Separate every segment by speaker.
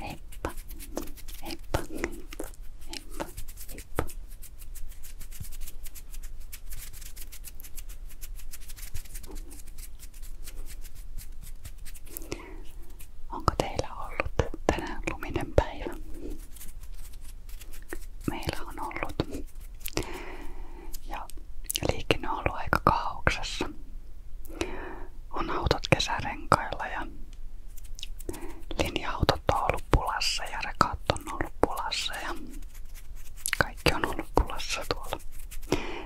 Speaker 1: Heippa, Onko teillä ollut tänään luminen päivä? Meillä on ollut. Ja liikenne on ollut on autot kesärenkailla ja linja-autot on ollut pulassa ja rekat on ollut pulassa ja kaikki on ollut pulassa tuolla.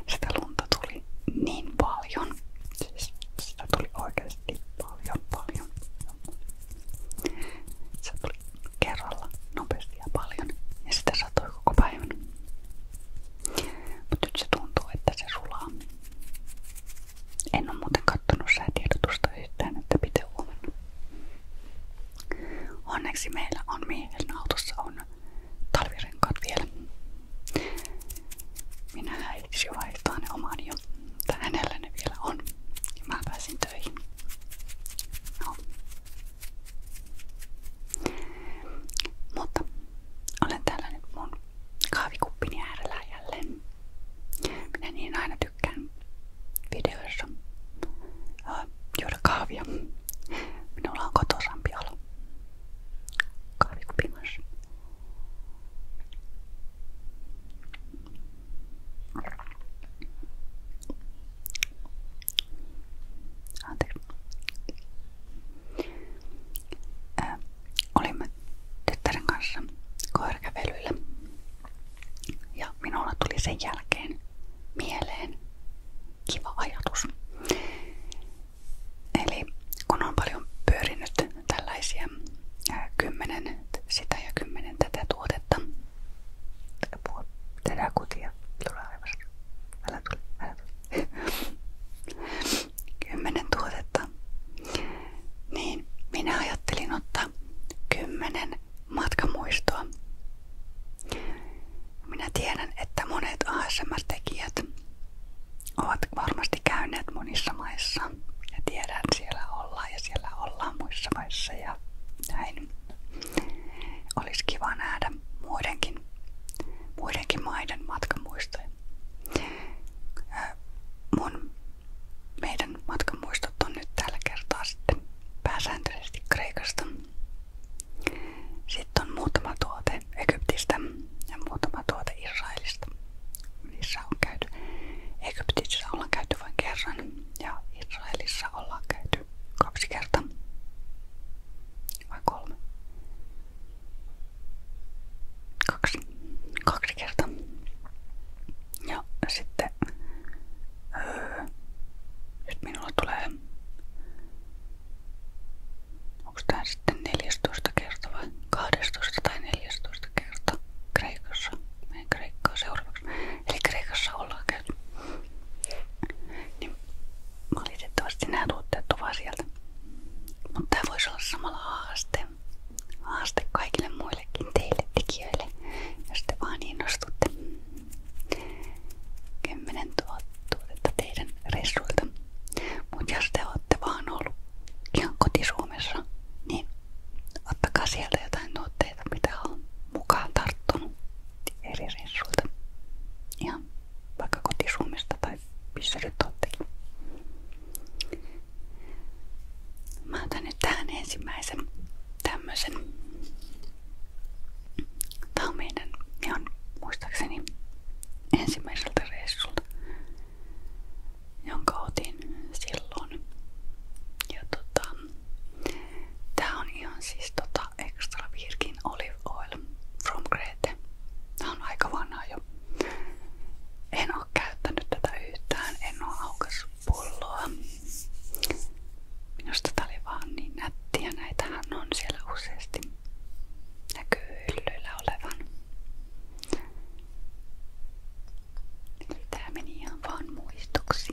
Speaker 1: Sitä lunta tuli niin paljon. Siis sitä tuli oikeasti paljon, paljon. Se tuli kerralla nopeasti ja paljon ja sitä satoi koko päivän. Mutta nyt se tuntuu, että se sulaa. En ole muuten kattonut säätiedotusta yhtään, että pitää huomenna. Onneksi meillä on miehen autossa on talvirenkaat vielä. Minä äitisi vaihtaa ne omani jo. Tää hänellä ne vielä on. Ja mä pääsin töihin. No. Mutta olen täällä nyt mun kahvikuppini äärellä jälleen. Minä niin aina tykkään videoissa äh, juoda kahvia. Minulla on kotosampi olo kahvikupin kanssa. Anteeksi. Äh, olimme tyttären kanssa koirakävelyllä. Ja minulla tuli sen jälkeen mieleen kiva ajatus. Eli kun on paljon pyörinyt tällaisia kymmenen sitä ja kymmenen tätä tuotetta, tätä kutia, tulee aivan, älä tule, älä tule. kymmenen tuotetta, niin minä ajattelin ottaa kymmenen matkamuistoa. Minä tiedän, että monet ASMR-tekijät ovat varmasti käyneet monissa maissa. Ja tiedän, että siellä ollaan ja siellä ollaan muissa maissa ja näin. Olisi kiva nähdä muidenkin, muidenkin maiden matkamuistoja. Mun, meidän matkan muistot on nyt tällä kertaa sitten pääsääntöisesti Kreikasta. Sitten on muutama tuote Egyptistä ja muutama tuote Israelista. Niissä on käyty. Egyptissä ollaan käyty vain kerran ja Israelissa ollaan käyty kaksi kertaa. Vai kolme? kaksi, kaksi kertaa. Ja sitten öö, minulla tulee onko tää sitten 14 kertaa vai tai 14 kertaa Kreikassa. Meidän Kreikkaa seuraavaksi. Eli Kreikassa ollaan Niin valitettavasti nämä tuotteet ovat sieltä. Mutta tämä voisi olla samalla haaste haaste kaikille muillekin teille tekijöille, jos te vaan innostutte. 10 tuotetta teidän reissuilta. Mutta jos te olette vaan ollut ihan kotisuomessa, niin ottakaa sieltä jotain tuotteita, mitä on mukaan tarttunut eri reissuilta. Ihan vaikka kotisuomesta tai missä nyt oottekin. Mä otan nyt tähän ensimmäisen tämmösen. Tää on meidän, ihan muistaakseni ensimmäiseltä reissulta, jonka otin silloin. Ja tota, tää on ihan siis tota Extra Virgin Olive Oil from Crete. Tää on aika vanha jo. En oo käyttänyt tätä yhtään, en oo aukassut pulloa. Minusta tää oli vaan niin nättiä, näitähän on siellä useasti näkyy hyllyillä olevan. Tää meni ihan vaan muistoksi.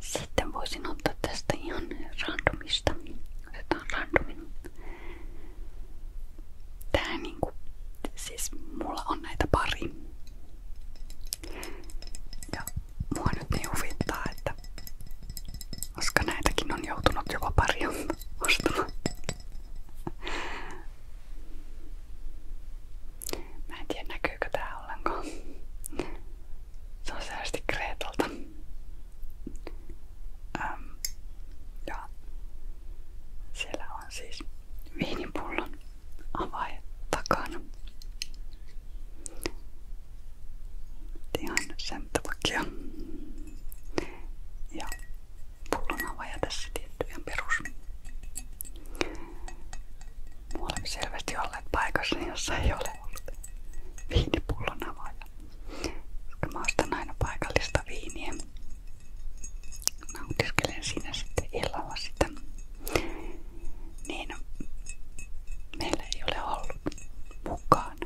Speaker 1: Sitten voisin ottaa tästä ihan randomista. Otetaan randomin. Tää niinku, siis mulla on näitä pari. Ja mua nyt niin huvittaa, että koska näitäkin on joutunut jopa pari ostamaan. Mä en tiedä näkyykö tää ollenkaan. Se on säästi Kreetalta. Ähm, ja siellä on siis viinipullon avaimet takana. Ihan sen takia. Ja pullon avaja tässä tietty ihan perus. Me olemme selvästi olleet paikassa, niin jossa ei ole ollut viinipullon avaaja. Koska mä ostan aina paikallista viiniä. Nautiskelen siinä sitten illalla sitä. Niin meillä ei ole ollut mukaan.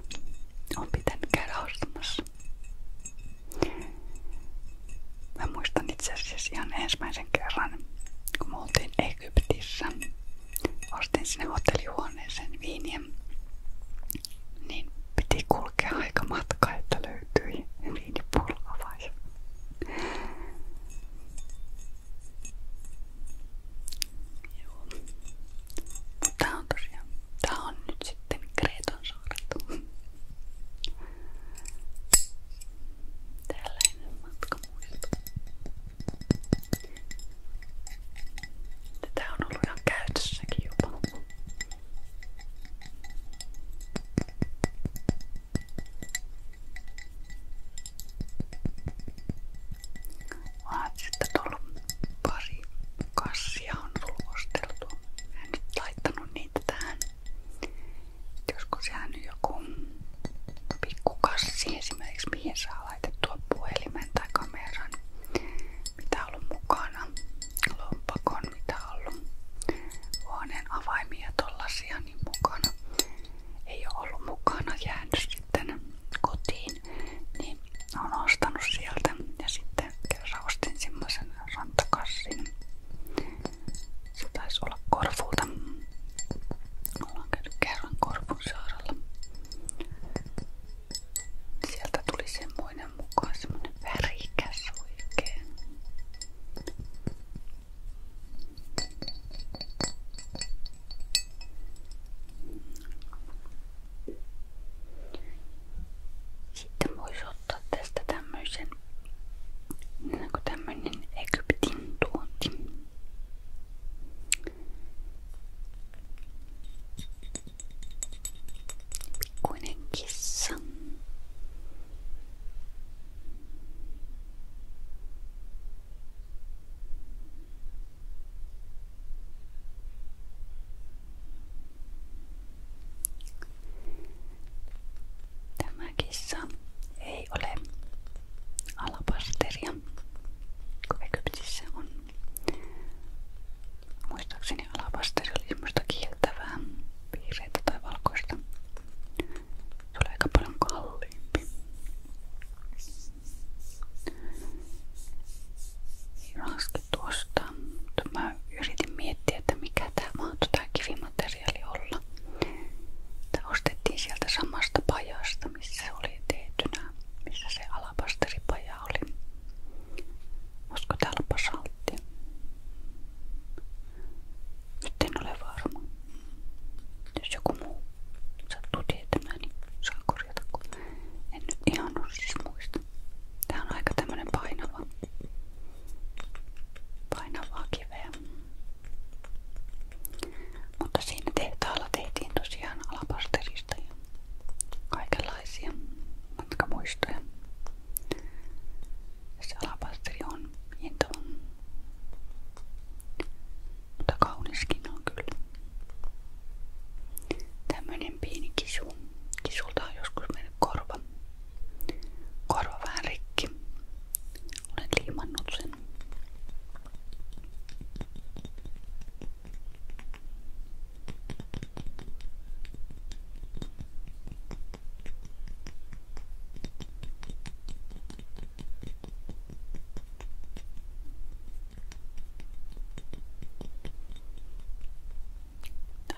Speaker 1: On pitänyt käydä ostamassa. Mä muistan itse asiassa ihan ensimmäisen kerran, kun me oltiin Egyptissä ostin sinne hotellihuoneeseen viiniä, niin piti kulkea aika matka, että löytyi viinipullo vai. Joo. Tää on tosiaan, tää on nyt sitten Kreeton saaret. Tällainen matka muistuu. Tätä on ollut ihan käytössäkin jopa. Vaan sitten tullut on laittanut niitä tähän. Joskus ihan joku pikkukassi esimerkiksi, mihin saa laitettua puhelimen tai kameran, mitä on ollut mukana, lompakon, mitä on ollut, huoneen avaimia tollasia niin mukana. Ei ole ollut mukana jäänyt sitten kotiin, niin on ostanut sieltä ja sitten kerran ostin semmoisen rantakassin. Se taisi olla korvulta Ollaan käynyt kerran Korpunsaarella. Sieltä tuli semmoinen mukaan semmonen värikäs oikein. Sitten voisi ottaa tästä tämmöisen niin tämmöinen Egyptin tuonti. Pikkuinen kissa. Tämä kissa ei ole alabasteria, kun Egyptissä on. Muistaakseni alabasteri oli semmoista kieltävää valkoista. Se paljon kalliimpi. Raski tuosta, mutta mä miettiä, että mikä tämä mahtoi tämä kivimateriaali olla. Tämä ostettiin sieltä samasta pajasta paikasta, missä se oli tehtynä, missä se alapasteripaja oli. Olisiko täällä basaltti? Nyt en ole varma. Jos joku muu sattuu tietämään, niin saa korjata, kun en nyt ihan siis muista. Tää on aika tämmönen painava, painavaa kiveä. Mutta siinä tehtaalla tehtiin tosiaan alapasterista ja kaikenlaisia matkamuistoja. Se alapasteri on hintava, mutta kauniskin on kyllä. Tämmöinen pieni kisu. Kisulta on joskus mennyt korva. Korva vähän rikki. Olen liimannut sen. Tämä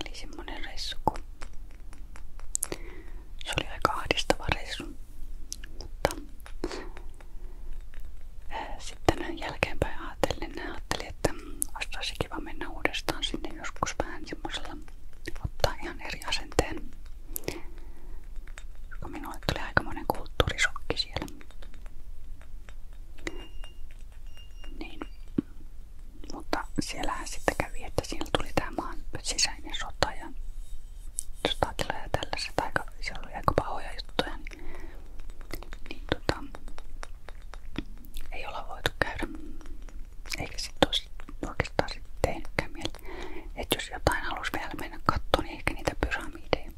Speaker 1: oli semmonen reissu, kun se oli aika ahdistava reissu, mutta sitten jälkeenpäin ajattelin, ajattelin että olisi kiva mennä uudestaan sinne joskus vähän semmoisella ottaa ihan eri asenteen. Koska minulle tuli aikamoinen kulttuurisokki siellä. Niin. Mutta siellähän sitten kävi, että siellä tuli tämä maan sisäinen sota ja sotatilaa ja tällaiset, aika, siellä oli aika pahoja juttuja, niin, niin tota, ei olla voitu käydä. Eikä sitten olisi oikeastaan sit tehnytkään mieli. Että jos jotain halusi vielä mennä kattoon, niin ehkä niitä pyramideja.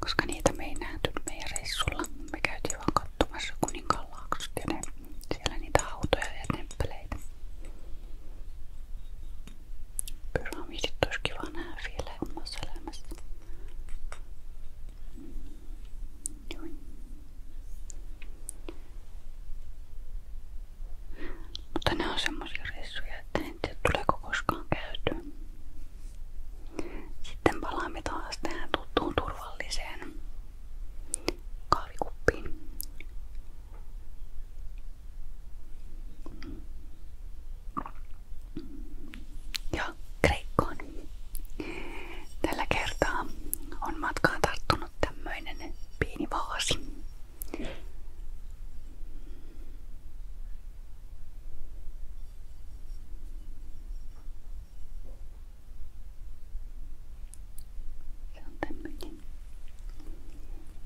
Speaker 1: Koska niitä me ei nähty meidän reissulla. Me käytiin vaan katsomassa kuninkaanlaaksot ja ne, siellä niitä hautoja ja temppeleitä. Pyramidit olisi kiva nähdä vielä omassa elämässä. Noin. Mutta ne on semmoisia reissuja, että en tiedä tuleeko koskaan käytyä. Sitten palaamme taas tähän tuttuun turvalliseen kahvikuppiin ja Kreikkoon. Tällä kertaa on matkaan tarttunut tämmöinen pieni vaasi. Se on tämmöinen.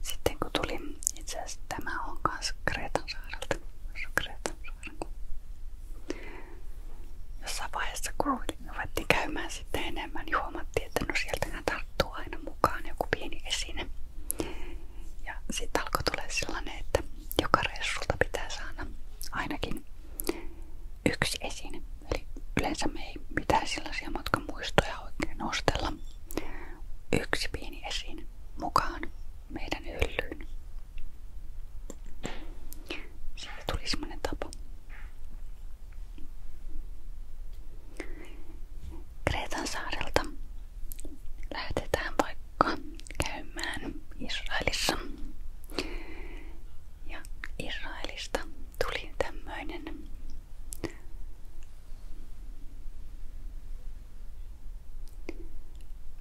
Speaker 1: Sitten kun tuli, itse asiassa tämä on saarelta, Kreetan saarelta. Jossain vaiheessa kun ruvettiin käymään sitten enemmän, niin huomattiin, että no sieltähän tarttuu aina mukaan joku pieni esine. Ja sitten alkoi joka reissulta pitää saada ainakin yksi esine. Eli yleensä me ei mitään sellaisia matkamuistoja oikein nostella. Yksi pieni esiin mukaan meidän hyllyyn. Siitä tuli semmonen tapa. Kreetan saarelta lähdetään vaikka käymään Israelissa. Ja Israelista tuli tämmöinen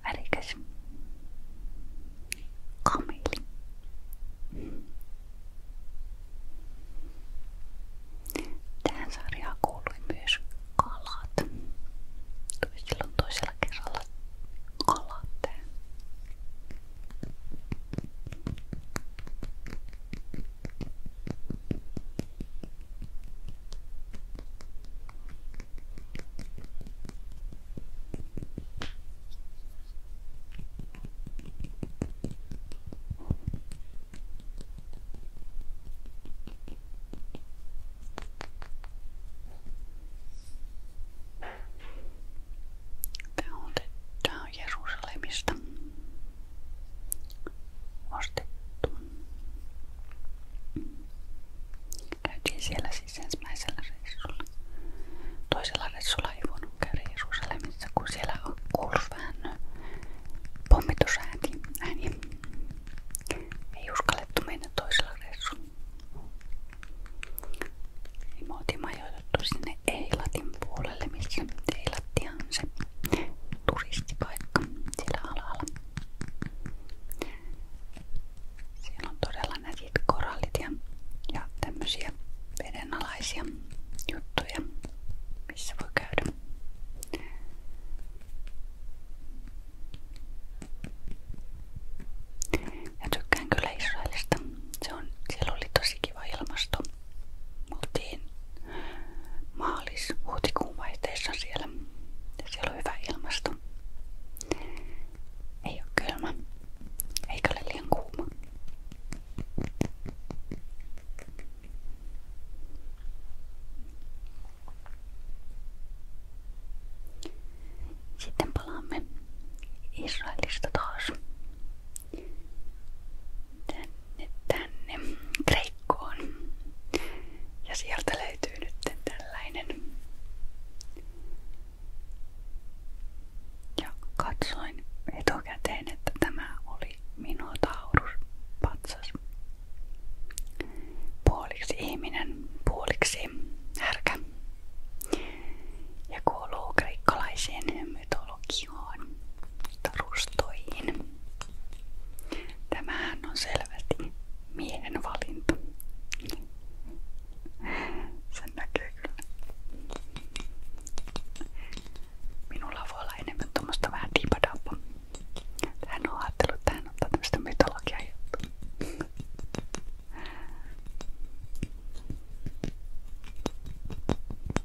Speaker 1: Värikäs. Kameli. Tähän sarjaan kuului myös kalat. Tuli silloin toisella kerralla kalat tähän. Tämä otetaan Jerusalemista ostettu. Käytiin siellä siis ensimmäisellä reissulla. Toisella reissulla ei voinut käydä Jerusalemissa, kun siellä on kuullut vähän Ei uskallettu toisella reissulla. Niin me otettu sinne Eilatin puolelle, missä Eilatti se turistipaikka siellä alalla. Siellä on todella nätit korallit ja, ja tämmöisiä juttuja, missä voi Ja tykkään kyllä Se on, siellä oli tosi me maalis-huhtikuun vaihteessa Ja siellä on hyvä Ei kylmä, eikä liian kuuma. Sitten palaamme Israelista taas. Miten tänne Kreikkoon. Ja sieltä löytyy nyt tällainen. Ja katsoin etukäteen, että tämä oli Minotaurus patsas. Puoliksi ihminen, puoliksi härkä. Ja kuuluu kreikkalaiseen mytologiaan varjoon, tarustoihin. Tämähän on selvästi miehen valinta. Sen näkee kyllä. Minulla voi olla enemmän tuommoista vähän diipadappa. Tähän on ajatellut, että hän ottaa tämmöistä mytologiaa juttua.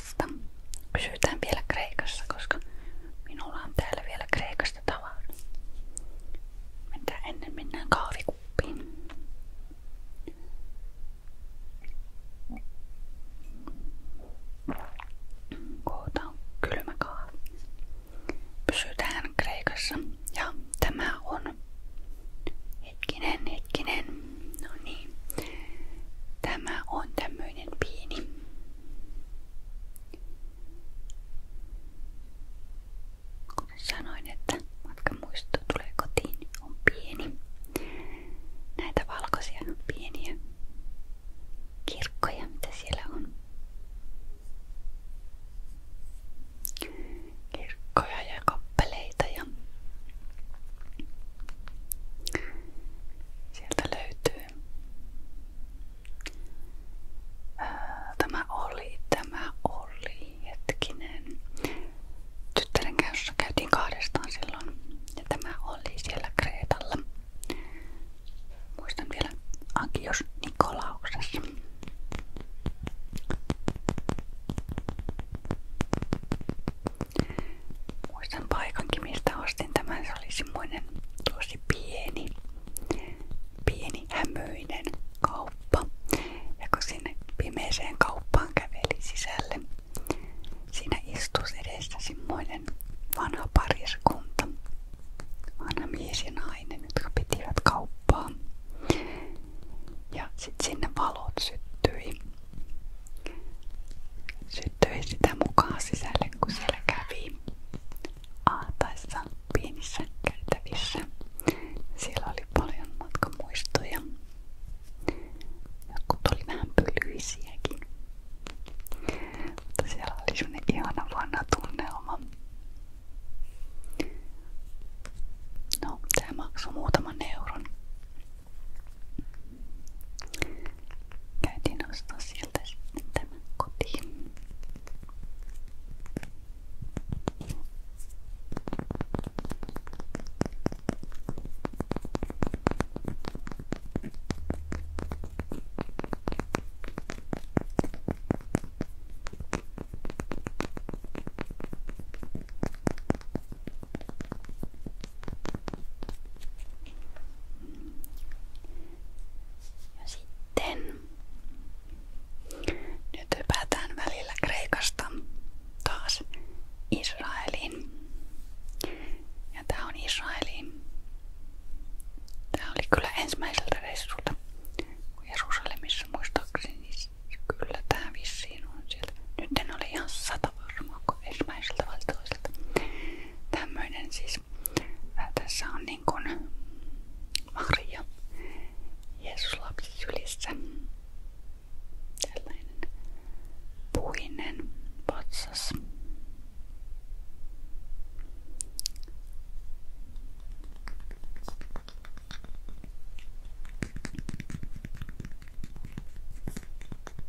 Speaker 1: Kreikasta. Kysytään vielä Kreikassa, koska minulla on täällä vielä Kreikasta tavaraa. Mennään ennen mennään kahvikuppiin. Koota on kylmä kahvi. Pysytään Kreikassa. Ja tämä on hetkinen, hetkinen. No niin. Tämä on tämmöinen pieni Kuten sanoin, että matkan muisto tulee kotiin niin on pieni. Näitä valkoisia pieniä kirkkoja, mitä siellä on. Kirkkoja ja kappeleita ja sieltä löytyy Äh, tämä oli, tämä oli, hetkinen. Tyttären kanssa käytiin kahdestaan silloin ja tämä oli siellä Kreetalla. Muistan vielä Ankios Nikolauksessa. Muistan paikankin ostin tämän. Se oli pieni, pieni hämöinen kauppa. Ja kun sinne kauppaan käveli sisälle, siinä istui edessä semmoinen vanha pariskunta. Vanha mies ja nainen, Ja sitten sinne valot syttyi. Syttyi sitä mukaan sisälle, kun siellä Petra kävi Aataissa pienissä käytävissä. Siellä oli paljon matkamuistoja. Jotkut oli vähän pölyisiäkin. Mutta siellä oli sellainen ihana vanha tunnelma. No, tää maksoi muutaman euron. Käytiin ostaa sieltä sitten tämän kotiin. Ja sitten nyt hypätään välillä Kreikasta taas Israeliin. Ja tää on Israeliin. Tää oli kyllä ensimmäiseltä reissulta. Jerusalemissa muistaakseni siis kyllä tää vissiin on sieltä. Nyt en ole ihan sata varmaa, kun ensimmäiseltä vai toiselta. Tämmöinen siis. Äh, tässä on niin kuin Maria Jeesus lapsi sylissä. Tällainen puinen patsas.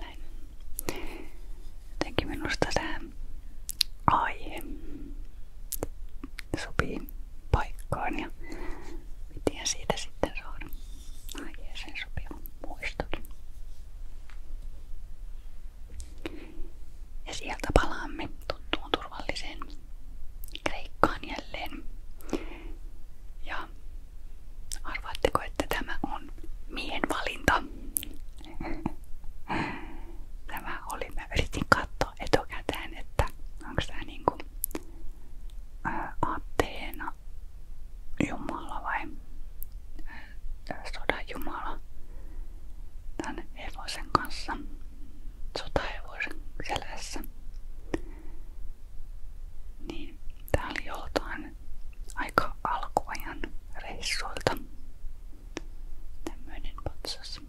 Speaker 1: Näin. Jotenkin minusta tähän aihe sopii paikkaan ja miten siitä sitten saada aiheeseen sopivan muistokin. Ja sieltä palaamme tuttuun turvalliseen Kreikkaan jälleen. Ja ja arvaatteko, tämä on miehen valinta? Tämä oli, mä yritin katsoa etukäteen, että onko tämä niinku ää, Ateena Jumala vai ää, sodan Jumala tämän hevosen kanssa, sotahevosen selässä. Niin tää oli joltain aika alkuajan reissuilta tämmöinen patsas.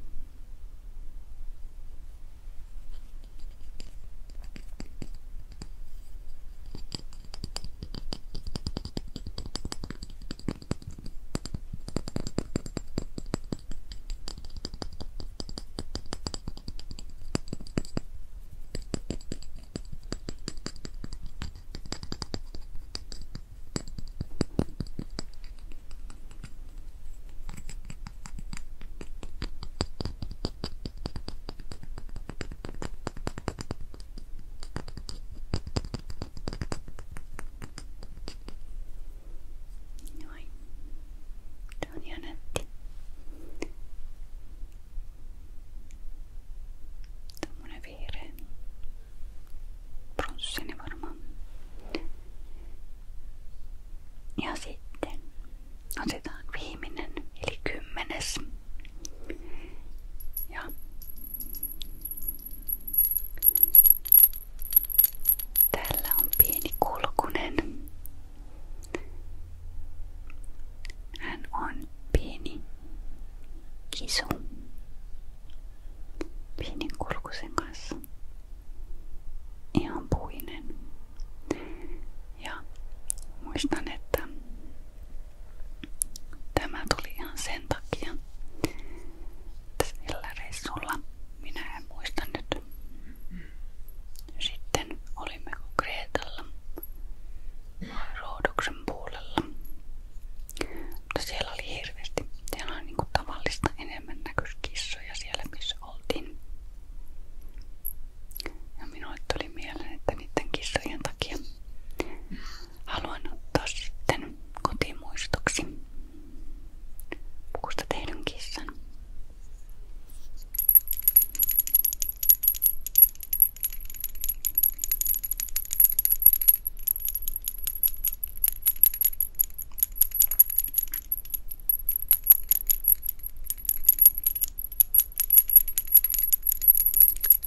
Speaker 1: はい、どうに洗って Tämmönen vihreä. Bronssini varmaan. Ja sitten otetaan viimeinen, eli kymmenes. Ja Täällä on pieni kulkunen. Hän on pieni kisu. Pienen kurkusen kanssa. Ihan puinen. Ja muistan, että tämä tuli ihan sen takia, että sillä reissulla minä en muista nyt. Sitten olimme Kreetalla Roodoksen puolella. Mutta siellä oli hirveästi. Siellä on niinku tavallista enemmän näköiskissoja siellä missä oltiin. Ja minulle tuli mieleen, että niiden kissojen takia haluan ottaa sitten kotimuistoksi pukusta tehdyn kissan.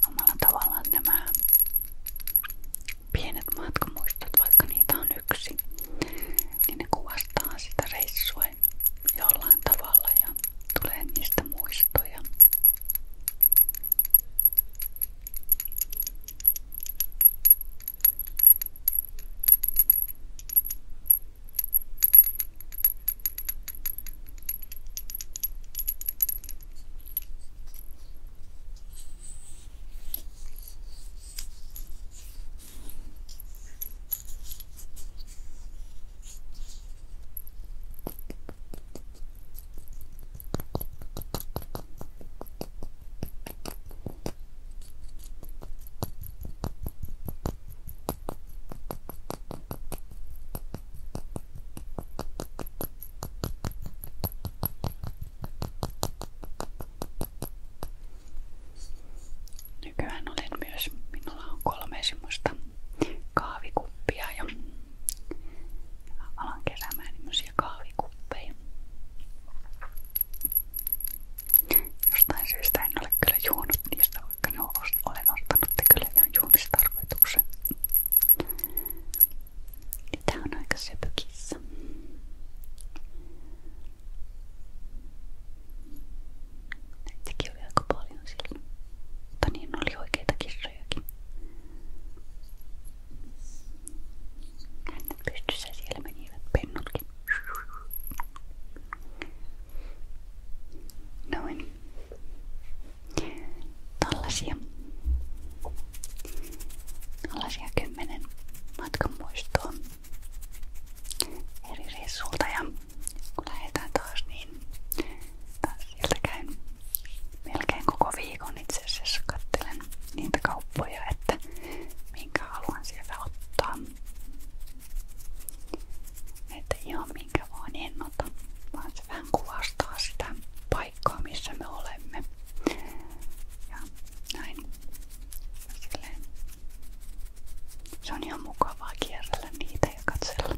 Speaker 1: Omalla tavallaan nämä pienet matkamuistot, vaikka niitä on niin ne kuvastaa sitä reissua jollain tavalla ja tulee niistä muistoja. Nykyään olen myös, minulla kolme semmoista kaavikuppia alan keräämään tämmöisiä kahvikuppeja. Jostain syystä en ole kyllä juonut niistä, vaikka ne olen ostanut ja kyllä ne on juomistarkoituksen. Niin, tää on aika söpökissä. Näitäkin oli aika paljon silloin. Mutta niin oli oikeita kissoja trög. Pystyssä siellä menivät pennutkin. Noin. Tällaisia. Tällaisia kymmenen matkan muistoa eri reissulta ja kun lähdetään taas niin Siltä käyn melkein koko viikon itse asiassa kattelen niitä kauppoja, että minkä haluan sieltä ottaa. Että ihan minkä vaan en ota, vaan se vähän kuvastaa sitä paikkaa, missä me olemme. Ja näin. Silleen. Se on ihan mukavaa kierrellä niitä ja katsella.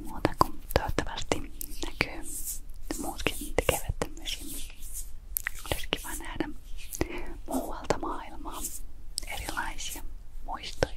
Speaker 1: Muuta kuin toivottavasti näkyy muutkin tekevät tämmöisiä. Olisi kiva nähdä muualta maailmaa erilaisia muistoja.